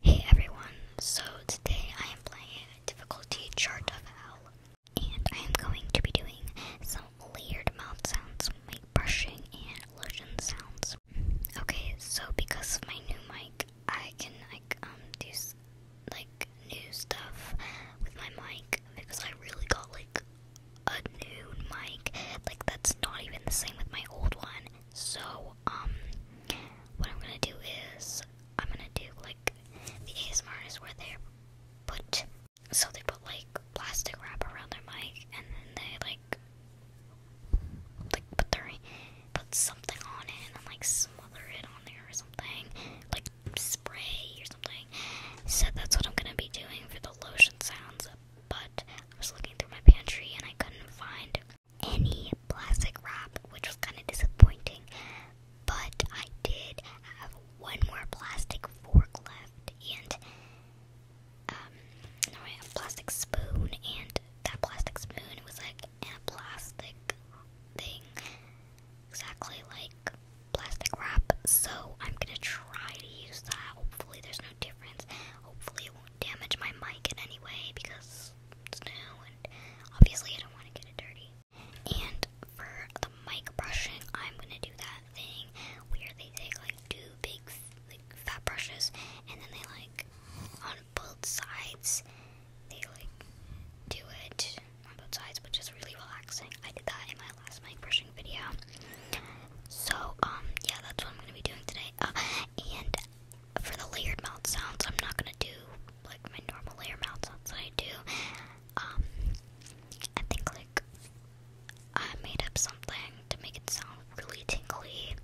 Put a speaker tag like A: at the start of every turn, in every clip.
A: Hey everyone, so today I am playing difficulty chart of hell and I am going to be doing some layered mouth sounds, mic brushing and lotion sounds. Okay, so because of my new mic, I can like um do like new stuff with my mic because I really got like a new mic like that's not even the same with my old one. So um, what I'm gonna do is I'm gonna do like the ASMR is where they put so they put like plastic wrap around their mic and then they like like put their put something on it and like smother it on there or something like spray or something. So that's what I'm gonna be doing for the lotion sounds. But I was looking through my pantry and I couldn't find any plastic wrap, which was kind of disappointing. But I did have one more plastic fork left, and um, a plastic spoon, and that plastic spoon was like a plastic thing, exactly like plastic wrap. So I'm gonna try to use that. Hopefully, there's no difference. Hopefully, it won't damage my mic in any way because it's new and obviously I don't want to get it dirty. And for the mic brushing, I'm gonna do that thing where they take like two big like fat brushes and then they like on both sides they like do it on both sides, which is really relaxing. I did that in my last mic brushing video. So um yeah, that's what I'm gonna be doing today. Uh, and for the layered mouth sounds, I'm not gonna do like my normal layer mouth sounds that I do. Um, I think like I made up something to make it sound really tingly.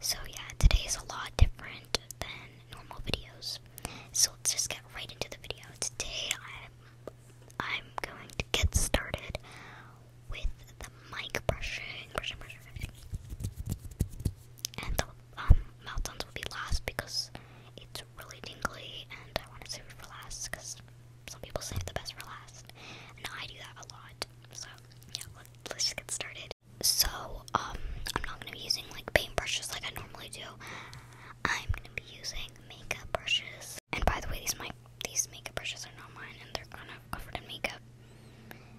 A: So yeah, today is a lot different than normal videos. So let's just get right into the video. Today I'm I'm going to get started with the mic brushing, brushing, brushing, And the um, mouth sounds will be last because it's really tingly and I want to save it for last because some people save the best for last. And I do that a lot. So, yeah, let, let's just get started. So, um, I'm not going to be using like paint brushes like I normally do. I'm going to be using makeup brushes. And by the way, these, my, these makeup brushes are not mine and they're kind of covered in makeup.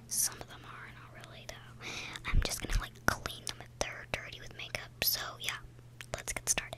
A: Some of them are, not really though. I'm just gonna like clean them if they're dirty with makeup. So yeah, let's get started.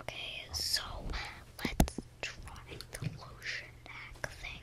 A: Okay, so let's try the lotion hack thing.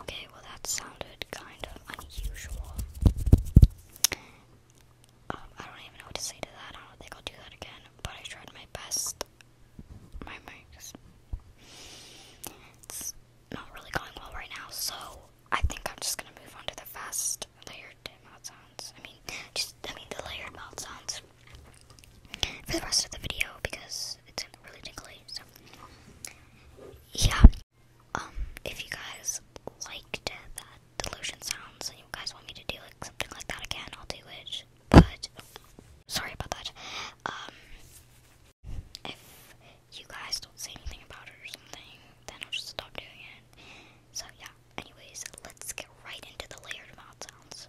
A: Okay, well, that sounded kind of unusual. Um, I don't even know what to say to that. I don't think I'll do that again, but I tried my best. My mics. not really going well right now, so I think I'm just gonna move on to the fast layered mouth sounds. I mean, just, I mean, the layered mouth sounds for the rest of the video because it's really tickly yeah, um, if you guys liked that delusion sounds and you guys want me to do like something like that again, I'll do it. But sorry about that. Um, if you guys don't say anything about it or something, then I'll just stop doing it. So yeah. Anyways, let's get right into the layered mouth sounds.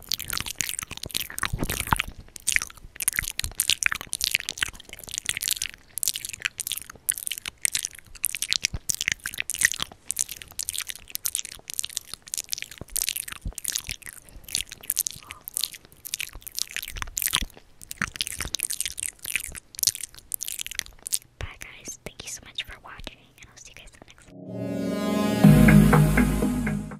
A: Bye guys, thank you so much for watching and I'll see you guys in the next one.